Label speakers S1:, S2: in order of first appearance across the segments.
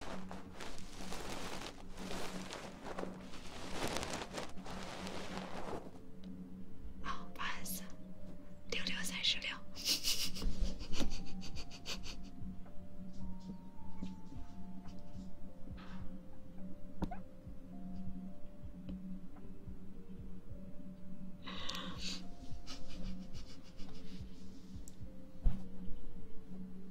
S1: 啊，不是，六六三十六。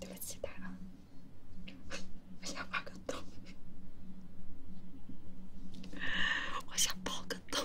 S1: 对不起，大佬，我想挖个洞，我想爆个洞。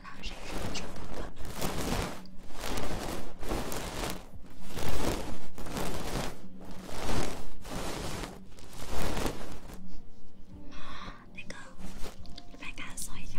S1: 那个，你帮咱搜一下。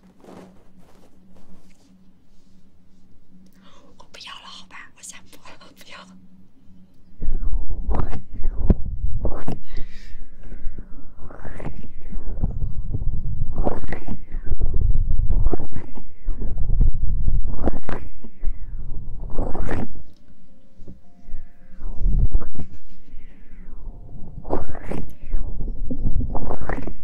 S1: 我不要了，好吧，我下播了，不要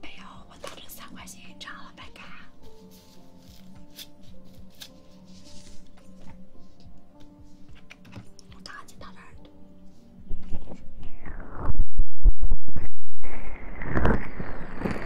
S1: 没有，我打着三块钱一张了，白干。我打进他这耳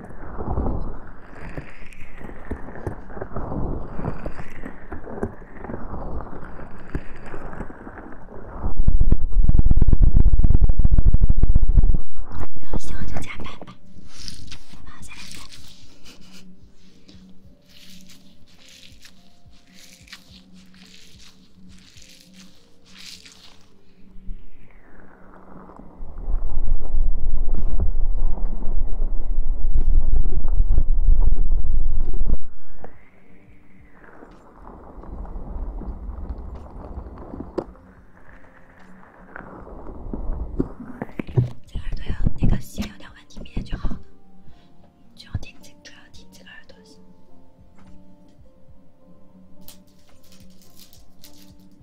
S1: 然后希望就加班吧，好吧再见。这个耳朵要那个，先有点问题，明天就好了。主要听几主要听几个耳朵。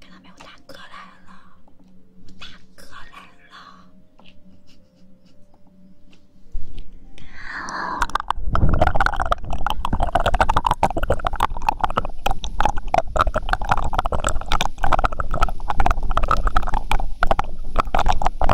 S1: 看到没，我大哥来了，我大哥来了。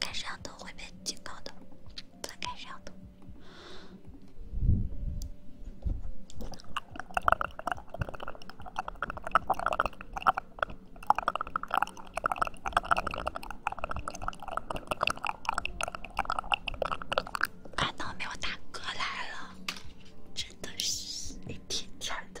S1: 开摄像头会被警告的，别开摄像头。哎，倒霉，我大哥来了，真的是一天天的。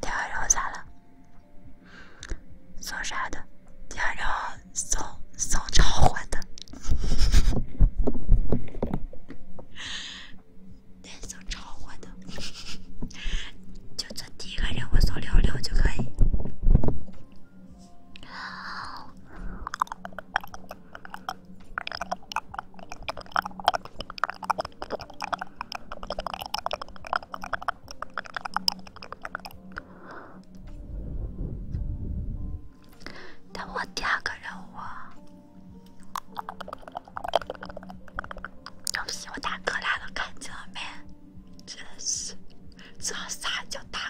S1: 第二任咋了？送啥的？第二任送送超火的，对，送超火的，就做第一个任务，送六六就可以。等我第二个任务。对不起，我哥来了，看见了没？真是，这啥叫大？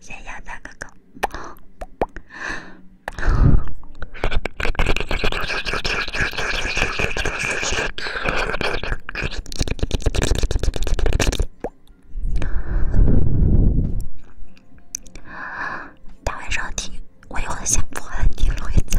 S1: 谢谢大哥哥。大晚上听，我一会儿不播了听了一次。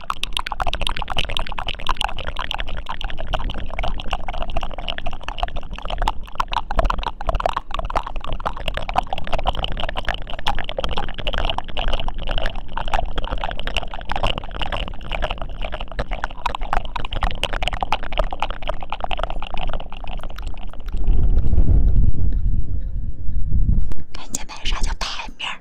S1: 看，现在啥叫台面儿？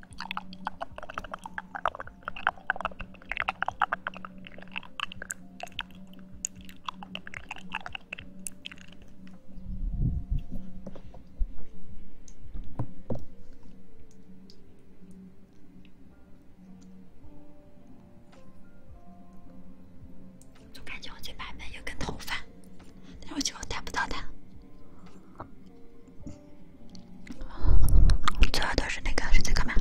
S1: 总感觉我嘴巴边有根头发，但我觉得我戴不到它。最后都是那个手机壳吗？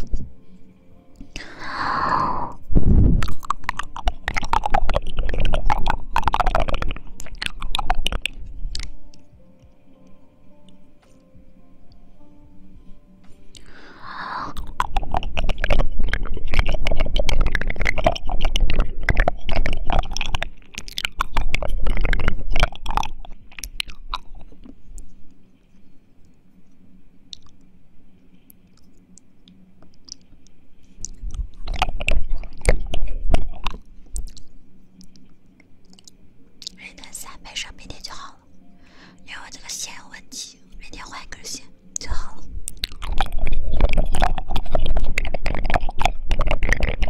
S1: 忍耐三倍，上明天就好了。因为这个线有问题，明天换一根线就好了。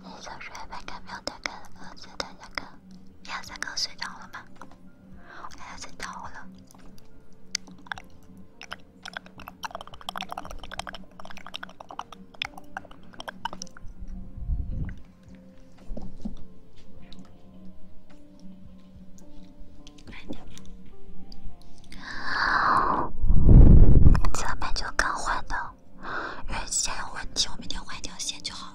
S1: 你早睡吗？看秒针，看鹅子，看小哥，杨三哥睡着了吗？鹅子逃了。慢点。咱们就更换的，原先有问题，我明天换一条线就好。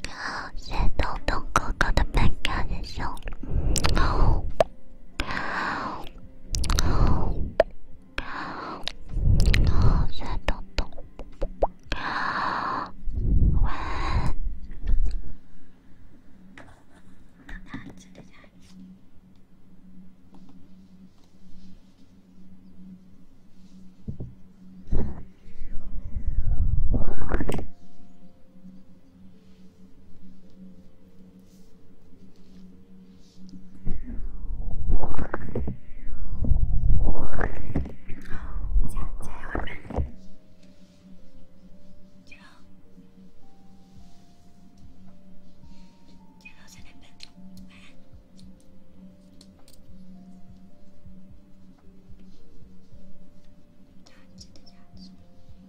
S1: 感谢东东哥哥的门票赠送。高，高，再动动，高，稳。等他再进来。好，加加油，我们。加油，加油，再来吧。加油！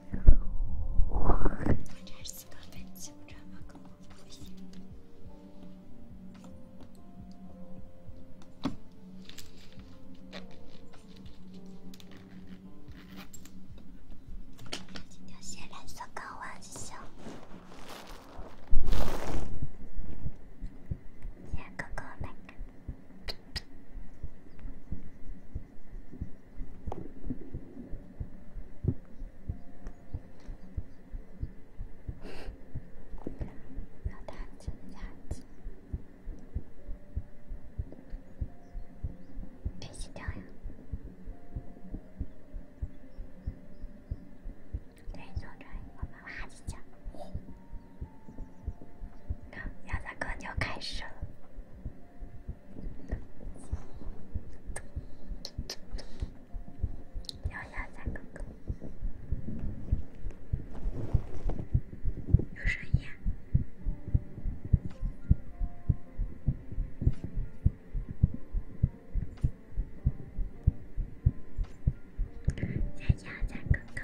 S1: 今天先来做个玩笑，谢哥哥那个。不要打字，对，坐这儿我们拉起脚。那鸭子哥就开始了。小鸭子哥哥，有声音。小鸭子哥哥。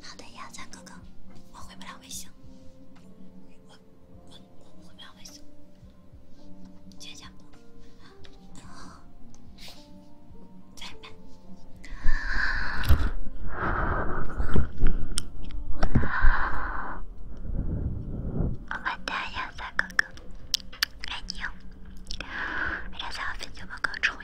S1: 好的，亚瑟哥哥，我回不了微信，我我回不了微信，再见，拜拜。好的，亚哥哥，爱你哟。亚瑟，飞机报告出。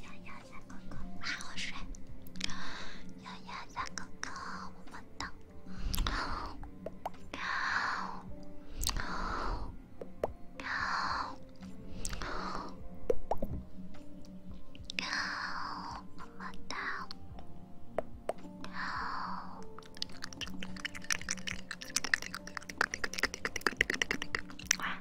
S1: 丫丫小哥哥，好好睡。丫丫小哥哥，么么哒。喵喵喵喵，么么哒。喵。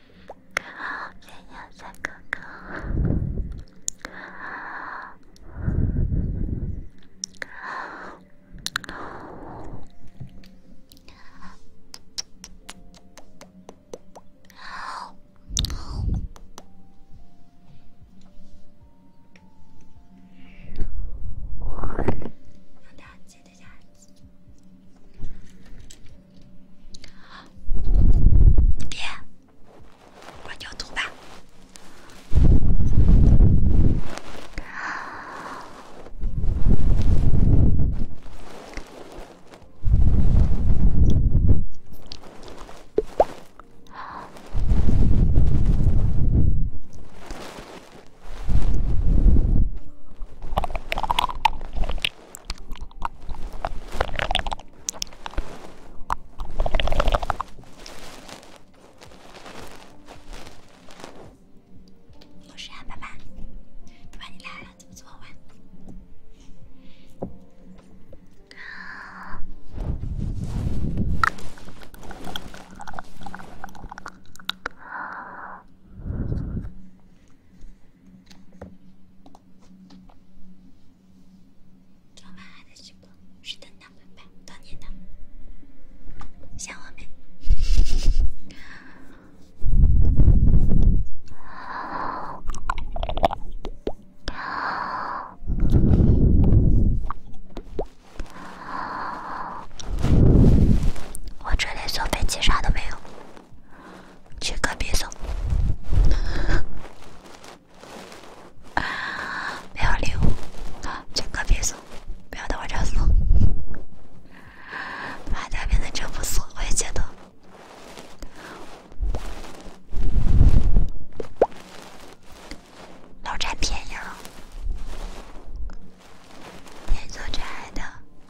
S1: 哥哥，不要再哥哥。别，关掉图吧。有事啊，爸爸？爸爸，你来了，怎么这么晚？昨晚还在直播，是登岛版，当年的，像我们。我这里坐飞机啥都没有。去隔壁送，不要礼物，去隔壁送，不要到我这送，发家妹子真不送，我也觉得，老占便宜了，你说亲爱的。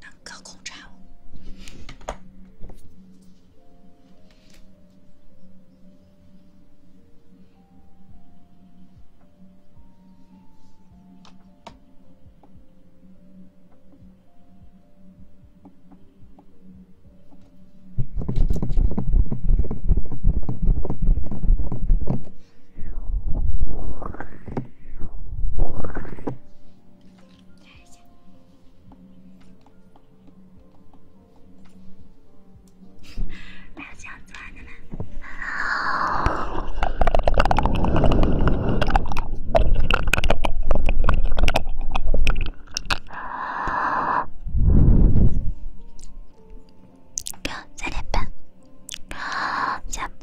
S1: 哪个工厂？还有这样做的吗？哥，三点半，下播。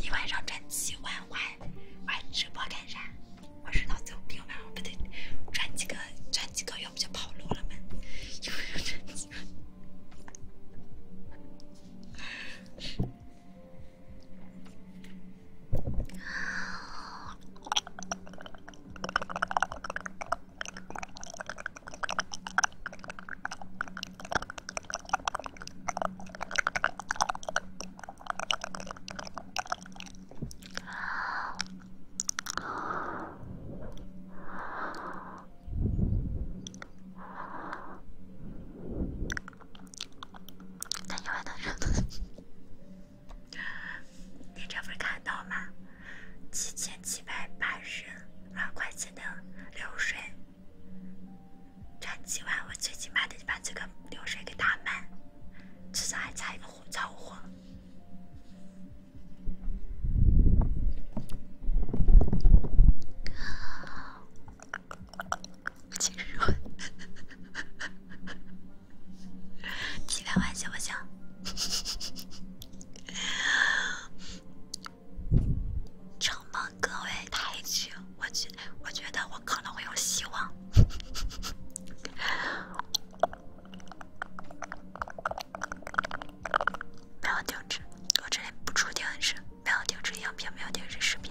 S1: 一晚上赚几万万，玩直播干啥？我是脑子有病吧？不对，赚几个，赚几个，要不就跑路了嘛？又赚几个？那你还等着？你这不是看到吗？七千七百八十二块钱的流水，这今晚我最起码得把这个流水给打满，至少还差一个火超火。其实，开个玩笑，不行。承蒙各位抬举，我觉，我觉得我可能会有希望。不要停止，我这里不出停止。不要停止音频，不要停止视频。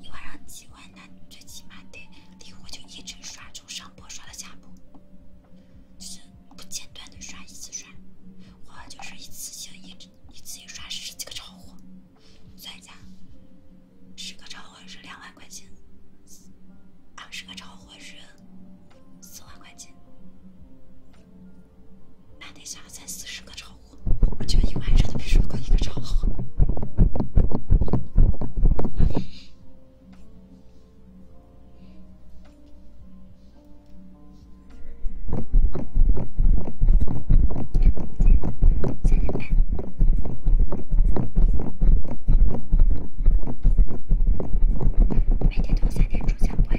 S1: 你晚上几万单，最起码得离火就一直刷，从上播刷到下播，是不间断的刷，一直刷。我就是一次性一直一次就刷十几个超火，在家十个超火是两万块钱，二十个超火是四万块钱。那得下了三四十个朝红，我觉得一晚上都没睡过一个朝红。每天都三点出警会。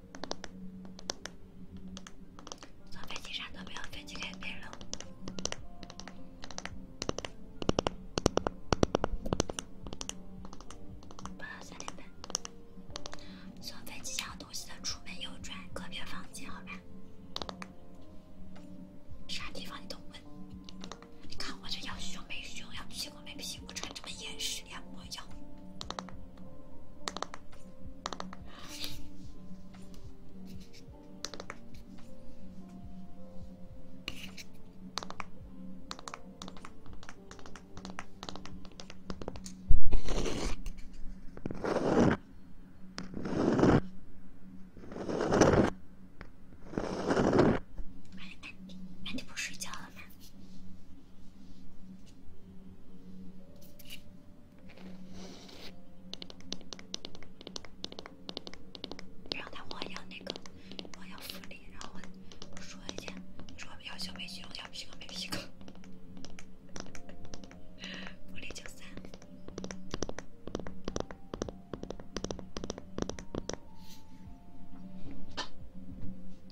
S1: 从飞机上都没有飞机给别人了，不到三点半。从飞机箱东西的出门右转，隔壁房间，好吧？啥地方你都问？你看我这要胸没胸，要屁股没屁股，穿这么严实，两模腰？哎，你，哎你不睡觉了吗？让他我要那个，我要福利，然后我说一下，说要小美皮，要皮个美皮个，福利九三，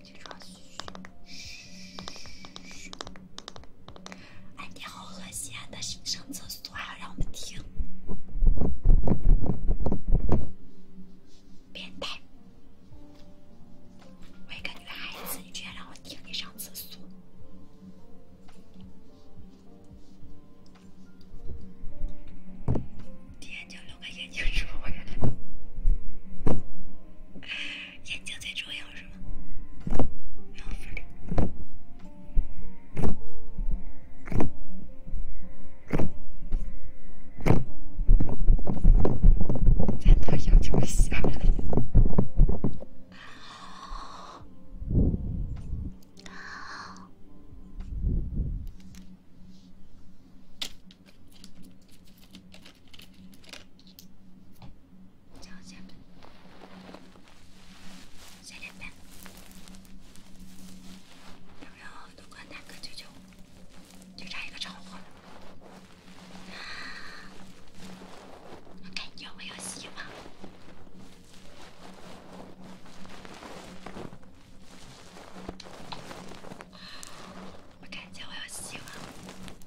S1: 起床。哎，你好恶心啊！但是上厕所还要让我们听，变态！我一个女孩子，居然让我听你上厕所！你眼角露个眼睛，舒服眼睛最重要是吗？咋能有这么小？再见，再见吧！要不要多关他个舅舅？就差一个超火了，我感觉我要希望，我感觉我要希望。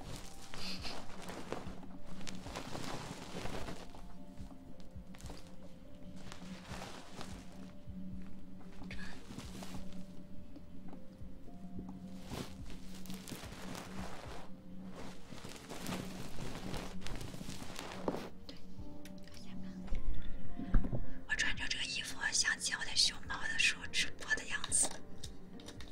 S1: 我穿着这个衣服，想起我的熊猫的时候直播的样子。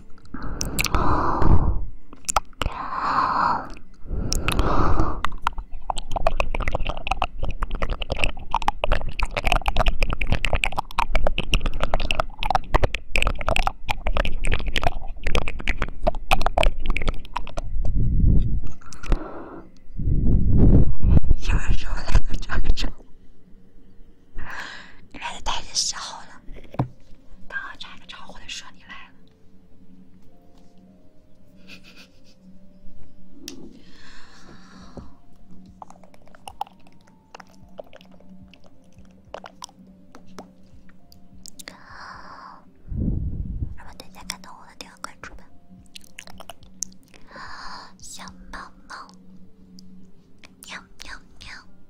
S1: 有时候懒得个照，懒得太热时候了。刚好炸个超火的说你来了，如果大家看到我的点关注吧，小猫猫，喵喵喵。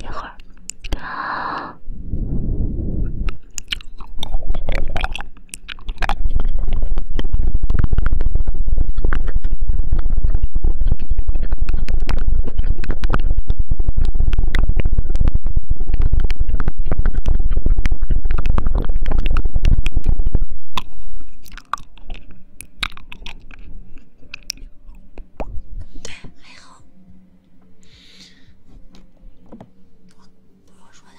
S1: 一会儿，对，还好。我不是我说的。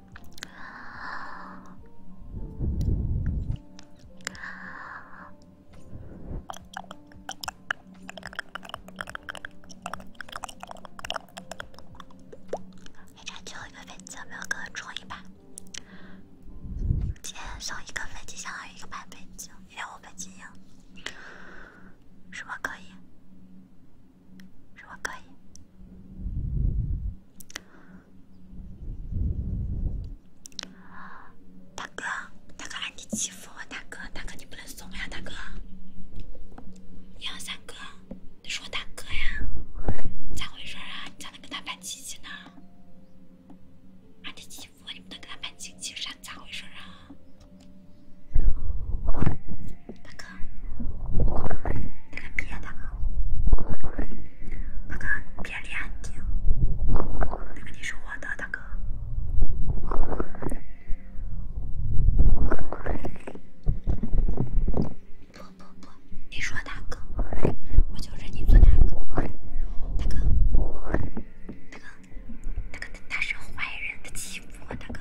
S1: 你争取一个飞机，没有给我出一把。今天送一个飞机，相当于一个百倍精，也有五倍精呀？什么可以？是我可以。大哥，大哥，你欺负我！大哥，大哥，你不能怂呀！大哥，你杨三哥，那是我大哥呀！咋回事啊？你咋能跟他扮亲戚呢？啊！你欺负我，你不能跟他办亲戚，啥？咋回事啊？大哥。那个别的，大哥别脸的，那个你是我的大哥。不不不，你说大哥，我就认你做大哥。大哥，大哥，大哥，他是坏人，他欺负我大哥。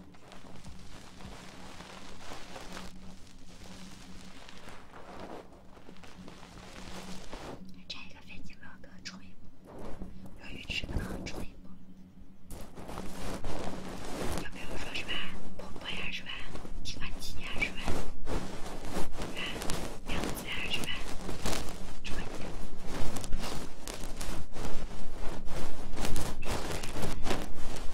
S1: 拆一个飞机，老哥，创业不？有鱼池的，创业不？有没有说是吧？婆婆二十万，提款机二十万，是吧？两次二十万，创业不？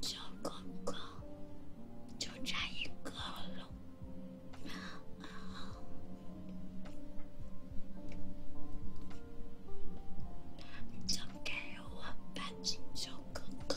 S1: 小哥哥，就差一个楼，就给我搬，小哥哥。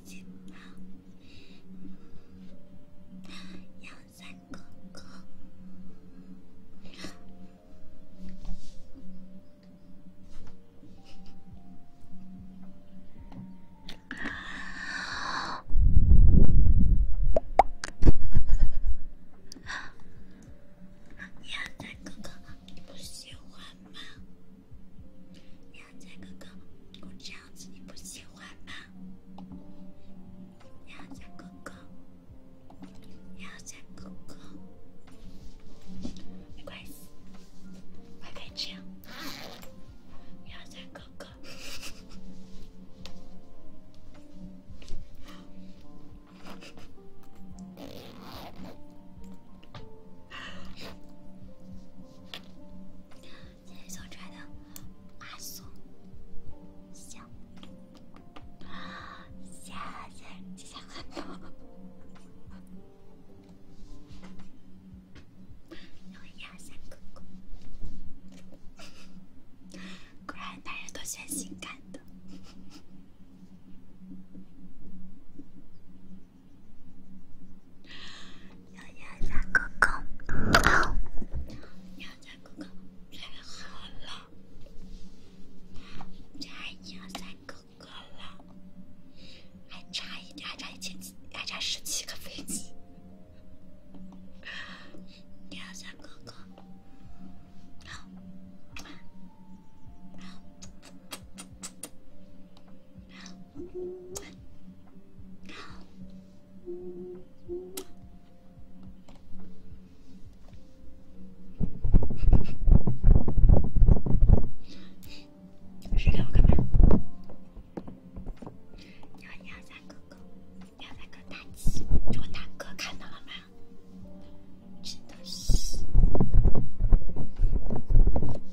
S1: 杨三哥哥，杨三哥哥，你不喜欢吗？杨戬哥哥，我这样子你不喜欢吗？杨戬哥哥，杨戬哥哥，没关系，我可以这样。杨戬哥哥。谢谢小船的发送，性感的。幺幺三哥哥，好，幺幺哥哥最好了，这还幺幺哥哥了，还差一还差一千还差十七个飞机，幺幺三哥哥，谁给我干嘛？要要大哥，要大哥大鸡，叫我大哥看到了吗？真的是。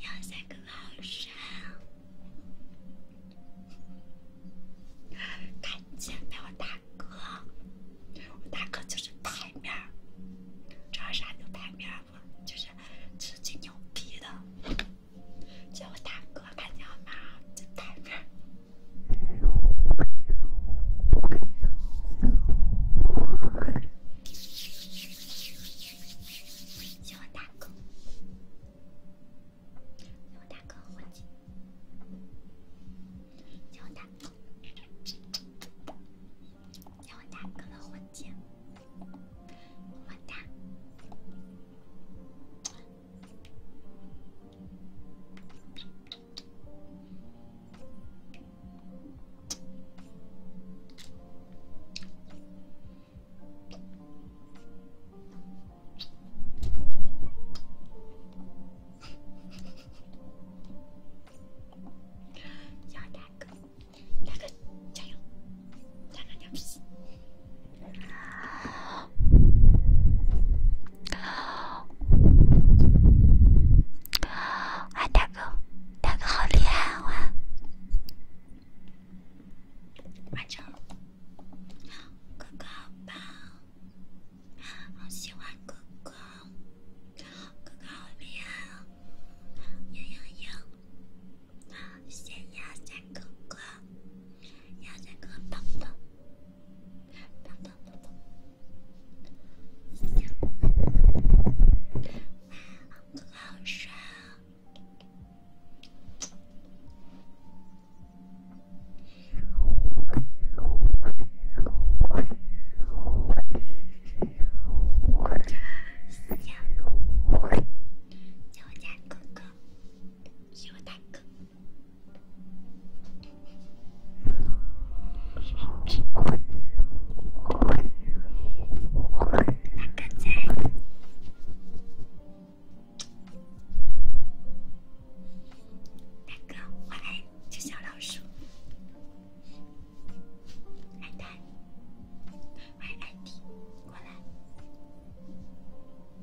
S1: 要三个老师，看见没我大哥？我大哥就是牌面儿，只要啥都牌面儿，我就是是最牛逼的。叫我大哥看见了吗？这牌面儿。叫我大哥，叫我大哥火箭，叫我大哥，叫我大哥的火箭，么么哒。要大哥，大哥加油，大哥牛批！大哥，大哥好厉害啊！完成，哥哥好棒，好喜欢哥哥，哥哥好厉害！赢赢赢！谢谢呀，三哥哥，三哥哥棒棒。宝宝宝宝，我好帅！叫我家哥哥，叫我大哥。刚才，大哥，晚安，小老鼠，爱大，爱爱迪，过来。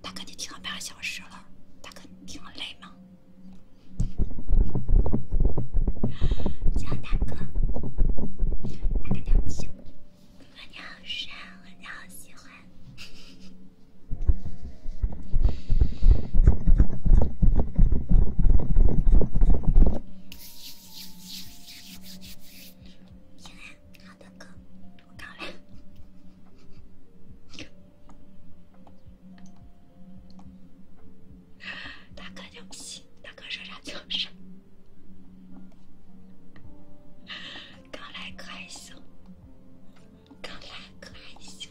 S1: 大哥，你听了半个小时了，大哥，你听了累吗？小大哥，大哥叫小，哥哥你好帅，我超喜欢。行了，好的哥，我搞嘞。大哥就行，大哥说啥就是刚来哥还行，刚来哥还行。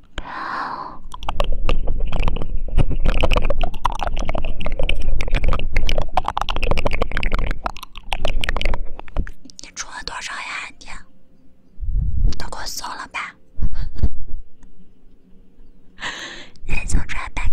S1: 你充了多少呀？你都给我送了吧！你就别干。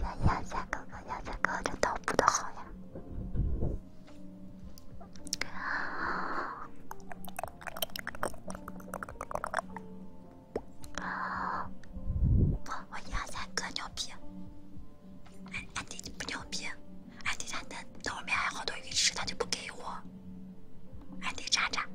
S1: 亚亚亚哥哥，亚亚哥哥，这刀补的好呀！不，我亚亚哥牛逼！安安迪不牛逼，安迪他那那后面还有好多鱼吃，他就不给我，安迪渣渣。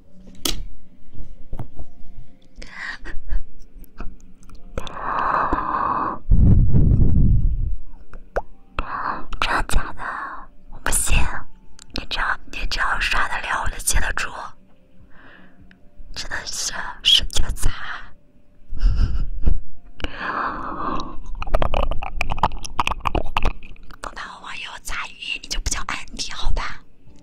S1: 真的假的？我不信！你只要你只要刷得了，我就接得住，真的是神经残！不拿网友砸鱼，你就比较安迪，好吧？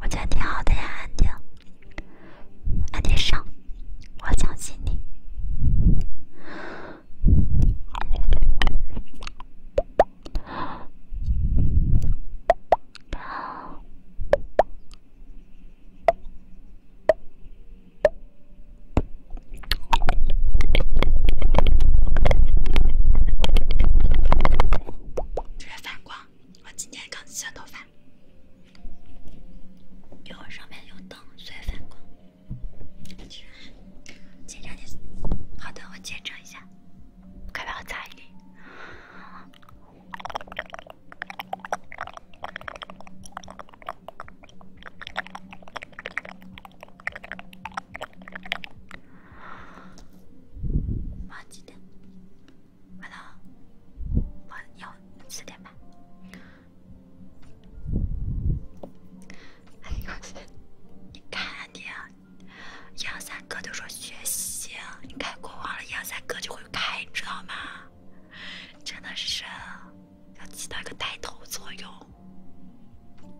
S1: 我觉得挺好的呀，安迪，安迪上，我相信你。好。突然反光，我今天刚洗完头发，因为上面有灯，所以反光。见证你，好的，我见证一下，快帮我擦一。八点，不到八要四点半。哎呦我去！你看你，二三哥都说学习，你开国王了，一二三哥就会开，你知道吗？真的是，要起到一个带头作用。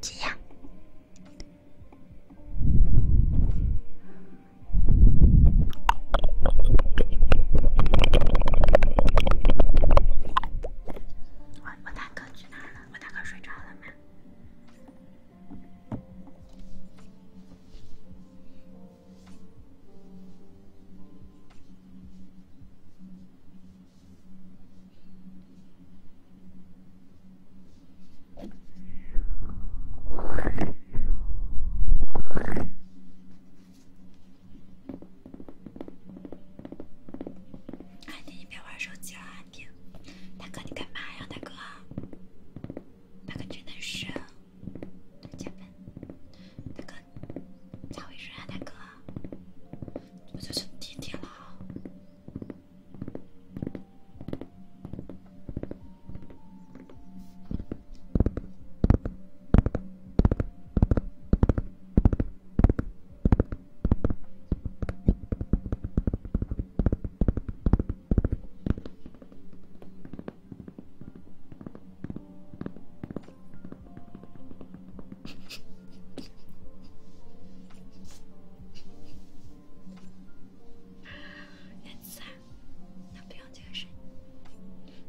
S1: 这样。你别玩手机了，大哥，你干嘛呀，大哥？大哥真的是，大哥，咋回事啊，大哥？这就是地铁了。颜色，那不用这个声音。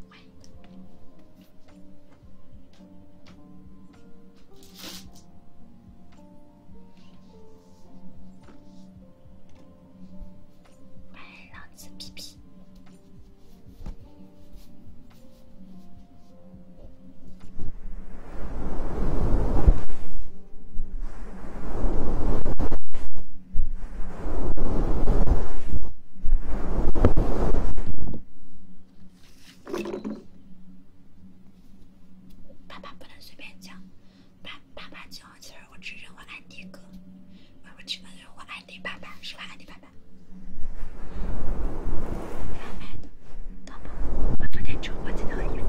S1: 喂，老子屁屁。爸爸不能随便讲，爸爸爸讲，其实我只认为安迪哥，我只认为安迪爸爸是吧？安迪爸爸。大宝，我昨天穿过这套衣服。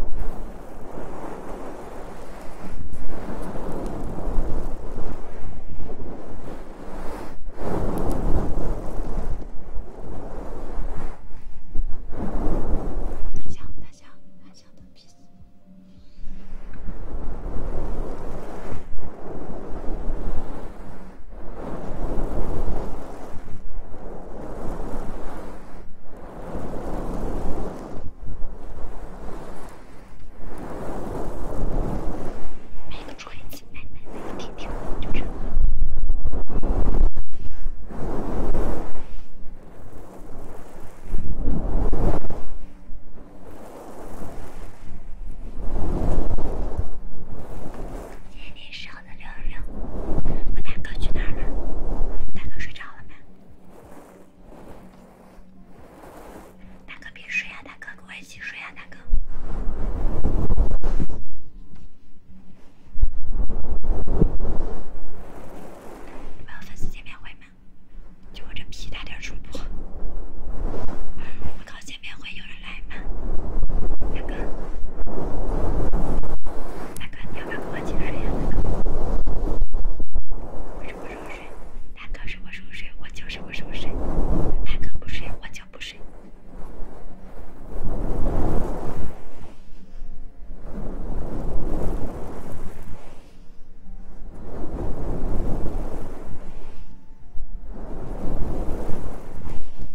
S1: 大象，大象，的屁！买个充电买买买，一点你手。六六六，我大哥去哪儿了？大哥睡着了吗？大哥别睡啊，大哥跟我一起睡啊，大哥。没有粉丝见面会就我这皮大点主播，见面会有人来吗？大哥，你要不要跟我一起睡呀？大哥，我什么时候睡？大哥什么时候睡？我就是什么时候睡。大哥不睡，我就不睡。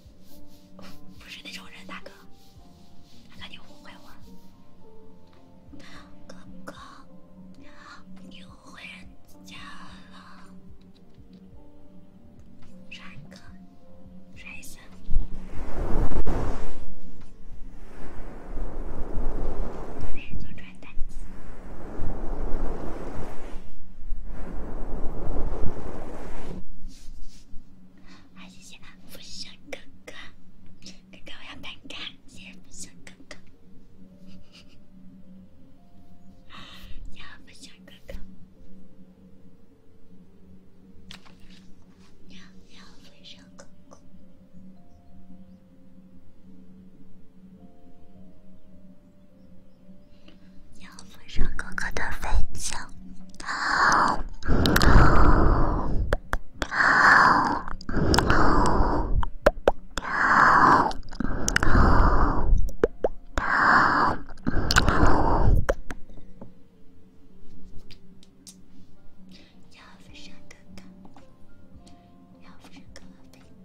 S1: 不是那种人，大哥，大哥你误会我，哥哥，你误会人家了，帅哥，帅哥，我是做传单还是想富生哥哥，哥哥我要饼干，还是想哥哥，要富生哥哥，要要富生哥哥。要飞上哥哥的飞机，好，好，好，好，好，好，要飞上哥哥，要飞上哥哥的飞机。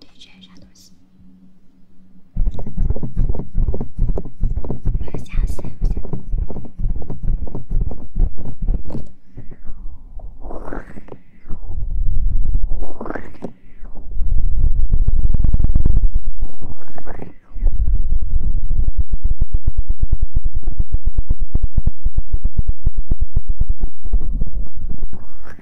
S1: 对，这是啥东西？不要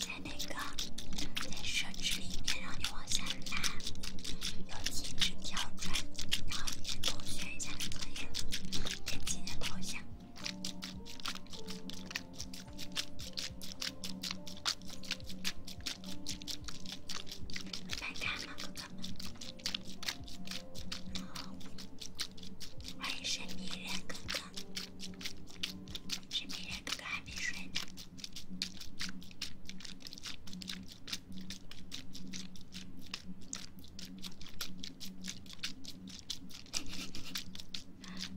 S1: 在那个在设置里面，让你往下来，有禁止跳转，然后你同学下面作业点击你的头像。拜拜，哥哥们。欢迎神秘人哥哥，神秘人哥哥还没睡呢。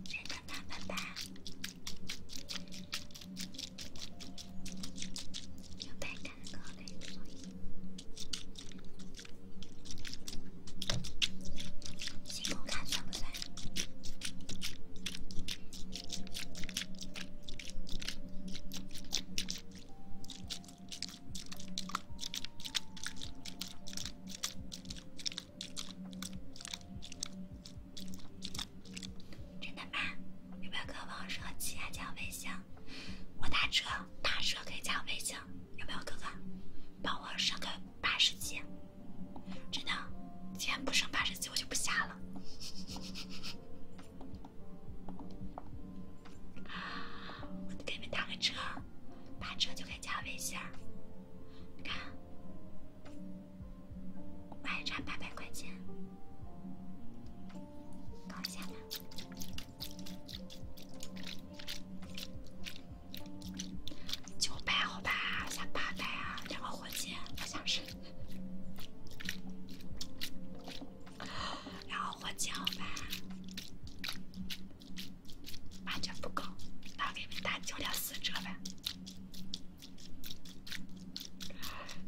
S1: 拜拜，拜拜。有白杆的可以，喜欢看算不算？真的吗？有没有哥哥帮我升七啊？加我微信，我打车，打车可以加我微信。有没有哥哥帮我升个八十级？真的，既然不升八十级我就不下了。给你们打个车，打车就可以加我微信。你看，我还差八百块钱。搞一下吧，九百好吧？下八百啊，两个火箭，我想是，然后火箭好吧？完全不够，那我给你打九点四折呗。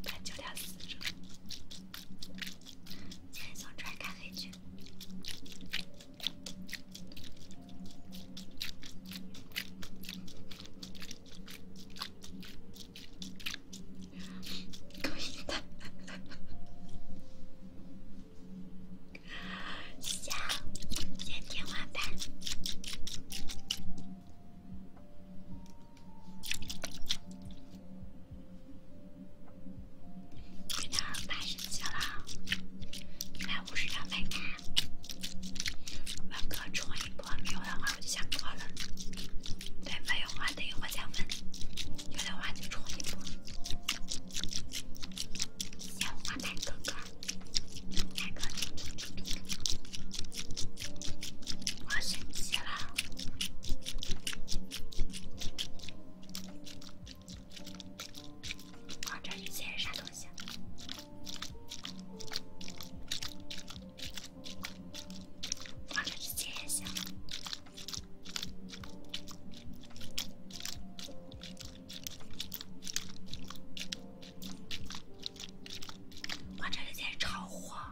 S1: 看九点四十，先从穿开黑去，够 硬的，笑，天花板。有点太生气了，来五十两美金。文哥充一波没有的话，我就下播了。对，没有的话等一会儿再问，有的话就充一波。要不我打哥哥，打哥哥。我生气了。我这直接啥东西？我这直接也行。我这里在超火。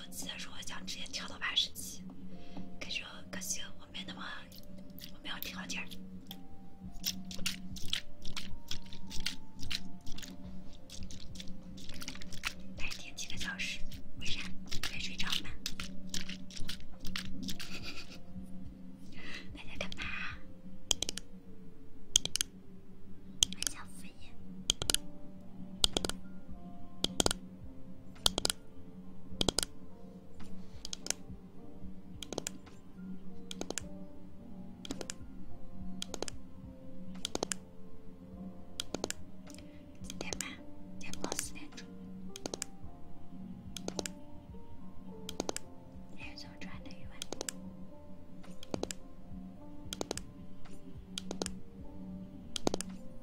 S1: 手机，如果想直接跳到八十级，感觉可惜我没那么，我没有条件。白天几个小时，为啥没睡着吗？大家干嘛？点半，下午四点钟。人总穿的语文。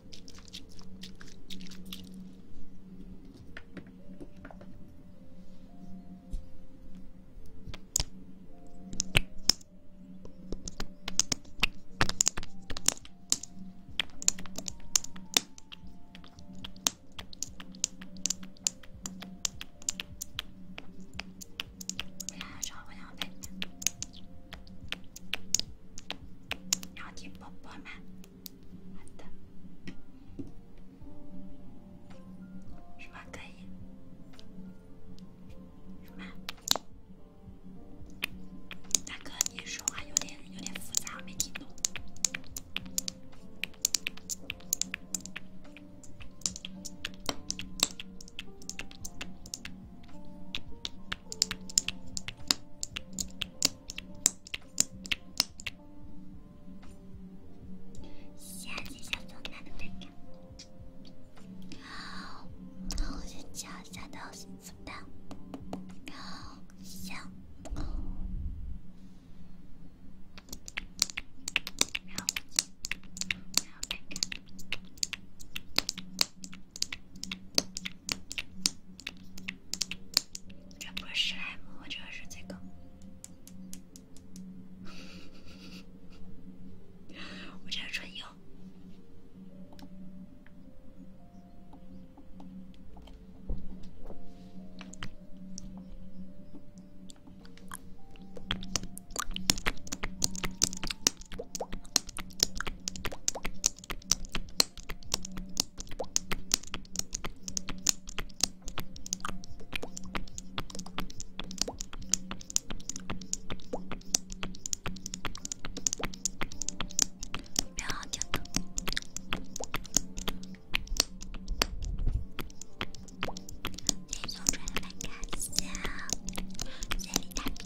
S1: 明天早上五点半。要听宝宝们，好的，什么可以？什么？大哥，你说话有点有点复杂，我没听懂。先去小豆奶的杯盖，然后去小豆豆的，然后小，然后小杯盖。这不是史莱姆，我这是这个，我这是唇釉。不要掉头！先送出来看一下，谢李大平。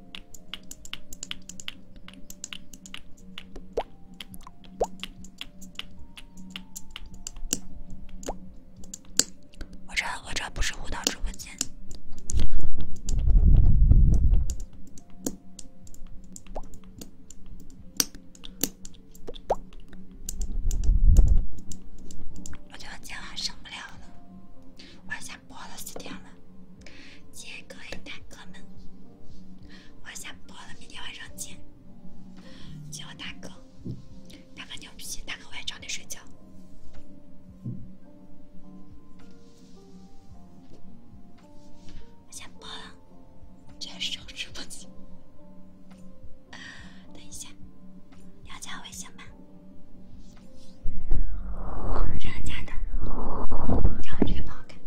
S1: 我这我这不是舞蹈直播间，我觉得今晚上不了了，我还想播了四天了。杰哥、大哥们，我要下播了，明天晚上见，叫我大哥，打把牛皮，大哥晚上早点睡觉。我下播了，结束直播。等一下，要加微信吗？这样加的，然后这个不好看。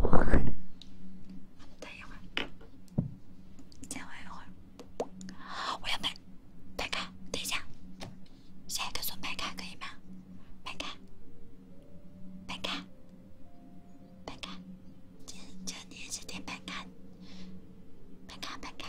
S1: 我等一会儿，再玩一会儿。我要摆摆开，等一下，下一个锁摆开可以吗？摆开，摆开，摆开，这这年是得摆开，摆开，摆开。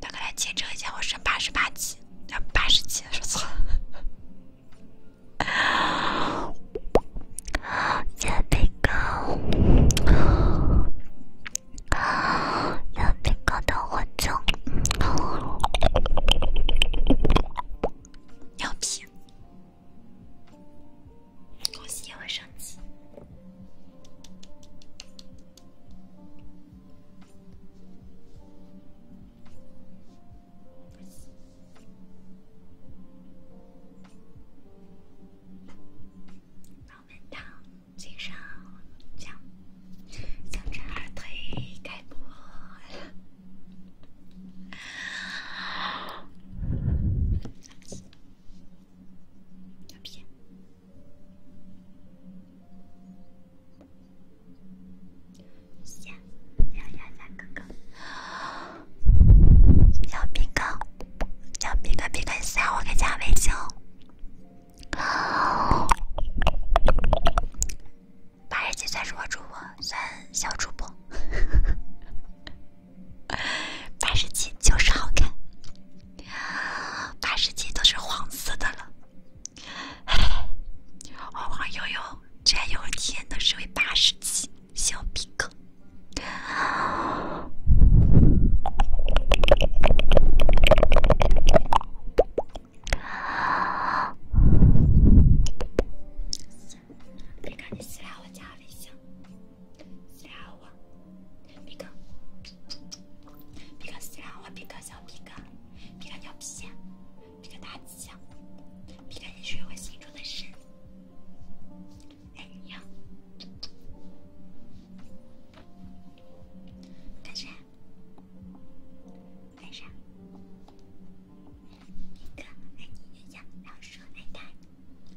S1: 大给来见证一下，我升八十八级，要八十几，我操！尿频高，尿频高的我，尿频，恭喜又升级。老门道，金少将，将这二腿开剥。牛逼！小鸭子哥哥，小饼干，小饼干饼干，加我加微信。八十七算是我主播，算小主播。八十七就是好看。八十七都是黄色的了，哎，晃晃悠悠，这又天都是为八十七小逼坑。别赶紧私我皮哥，皮哥虽然我皮哥小，皮哥皮哥牛皮相，皮哥大气相，皮哥你是我心中的神。哎，你呀，干啥？干啥？皮哥爱你就像老鼠爱大米。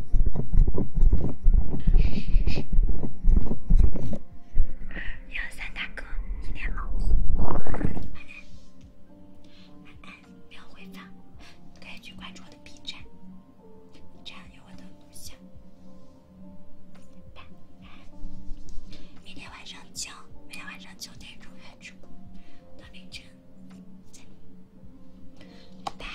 S1: 幺 三大哥，你好，晚安，晚安，没有回放，可以去关注我的 B 站，这样有我的录像。拜拜，明天晚上九，明天晚上九点钟开播，到凌晨，再见，拜拜。